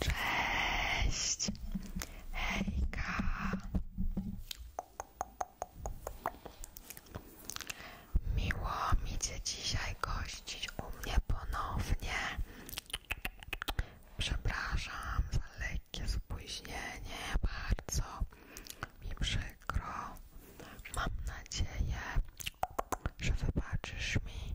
Cześć! Hejka! Miło mi Cię dzisiaj gościć u mnie ponownie. Przepraszam za lekkie spóźnienie, bardzo mi przykro. Mam nadzieję, że wybaczysz mi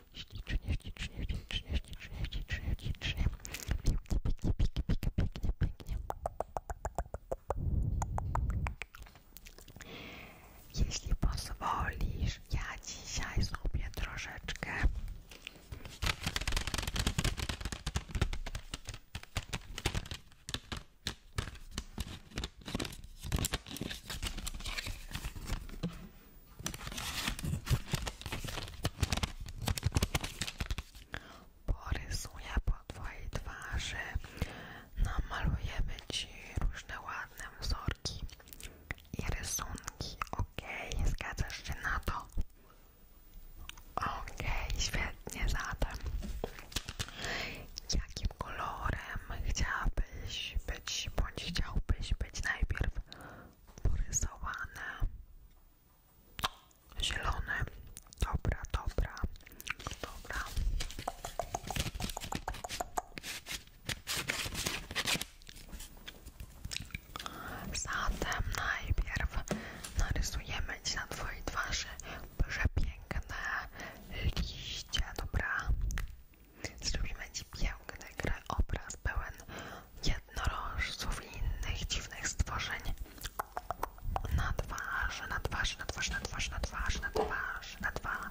ślicznie, ślicznie, ślicznie, ślicznie, ślicznie, ślicznie. Pięknie, pięknie, pięknie, pięknie, pięknie, pięknie. Jeśli pozwolisz, ja dzisiaj zrobię troszeczkę Porysuję po twojej twarzy, namaluję ci różne ładne wzorki i rysunki, okej, okay, zgadzasz się na to? Okej, świetnie, zatem jakim kolorem chciałabyś być, bądź chciałbyś być najpierw? porysowane, zielone, dobra, dobra, dobra. Zatem najpierw narysujemy Ci na Twojej twarzy przepiękne liście, dobra? Zrobimy Ci piękny obraz pełen jednorożców i innych dziwnych stworzeń. Na twarz, na twarz, na twarz, na twarz, na twarz, na twarz, na twarz.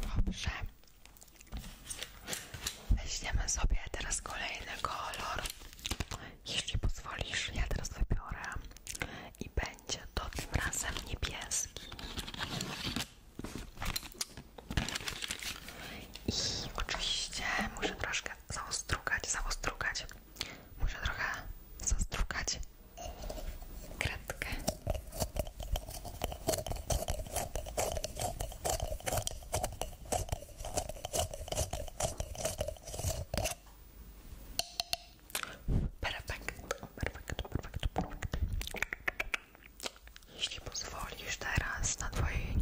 Dobrze. Weźmiemy sobie teraz kolejny kolor. Jeśli pozwolisz, ja teraz wybiorę i będzie to tym razem niebieski. I oczywiście muszę troszkę zaostrugać, zaostrugać. Muszę trochę zastrukać kredkę. Perfekt, perfekt, perfekt, perfekt. Jeśli pozwolisz teraz na twojej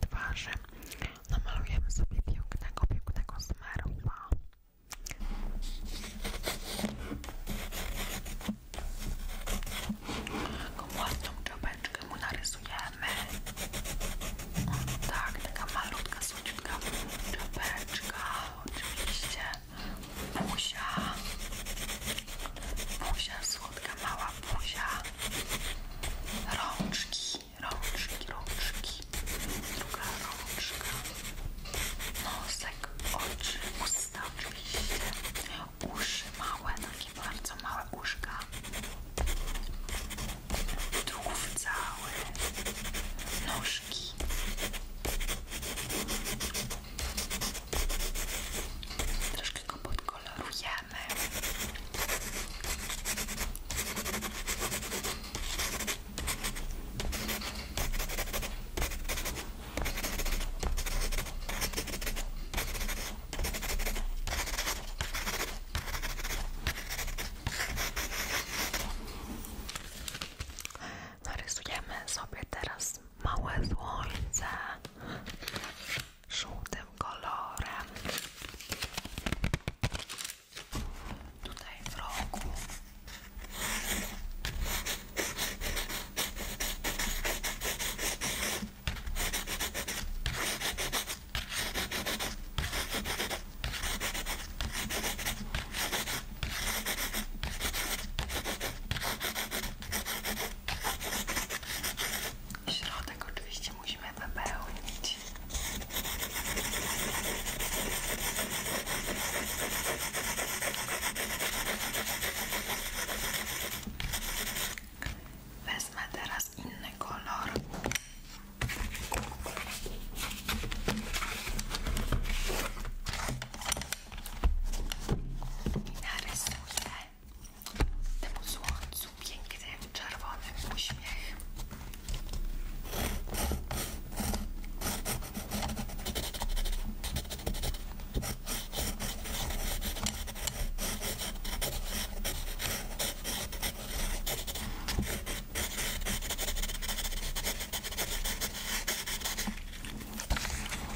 twarzy namalujemy sobie pięknego, pięknego smerła. Taką ładną czapeczkę mu narysujemy. tak, taka malutka, słodziutka czapeczka, oczywiście. Buzia. Buzia, słodka mała buzia. Rączki, rączki, rączki. Druga rączka. Nosek, oczy, usta oczywiście. Uszy małe, takie bardzo małe uszka. Tułów cały. Nóżki. Troszkę go podkolorujemy. Narysujemy sobie teraz małe słońce żółtym kolorem. Tutaj w rogu. Środek oczywiście musimy wypełnić. Wezmę teraz inny kolor. I narysuję temu słońcu pięknym, czerwonym uśmiech.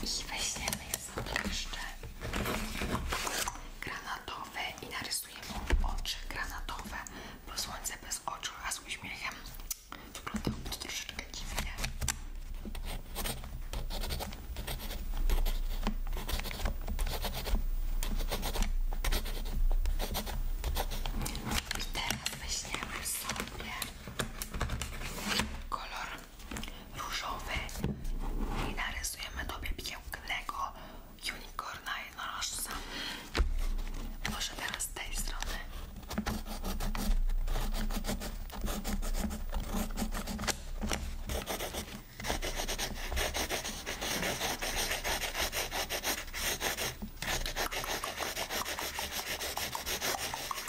I weźmiemy sobie jeszcze granatowy i narysujemy oczy granatowe, bo słońce bez oczu, a z uśmiechem wyglądałoby to troszeczkę dziwnie. I teraz weźmiemy sobie kolor różowy i narysujemy tobie pięknego unicorna jednorożca. Może teraz z tej strony.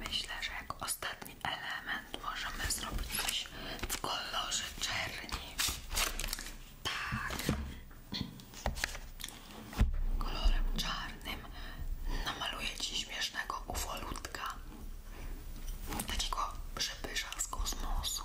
Myślę, że jako ostatni element możemy zrobić coś w kolorze czerni. Tak kolorem czarnym namaluję Ci śmiesznego ufolutka takiego przepysza z kosmosu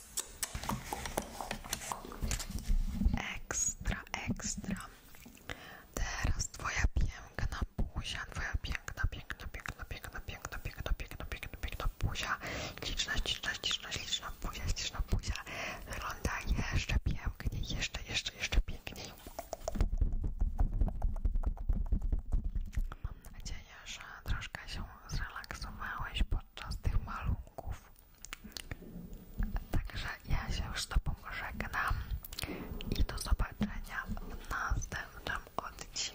Ekstra, ekstra. Teraz twoja piękna buzia, twoja piękna, piękna, piękna, piękna, piękna, piękna, piękna, piękna, piękna buzia. Liczna, liczna, liczna, liczna buzia, liczna buzia. Wygląda jeszcze piękniej, jeszcze, jeszcze, jeszcze piękniej. Mam nadzieję, że troszkę się zrelaksowałeś podczas tych malunków. Także ja się już z Tobą żegnam i do zobaczenia w następnym odcinku.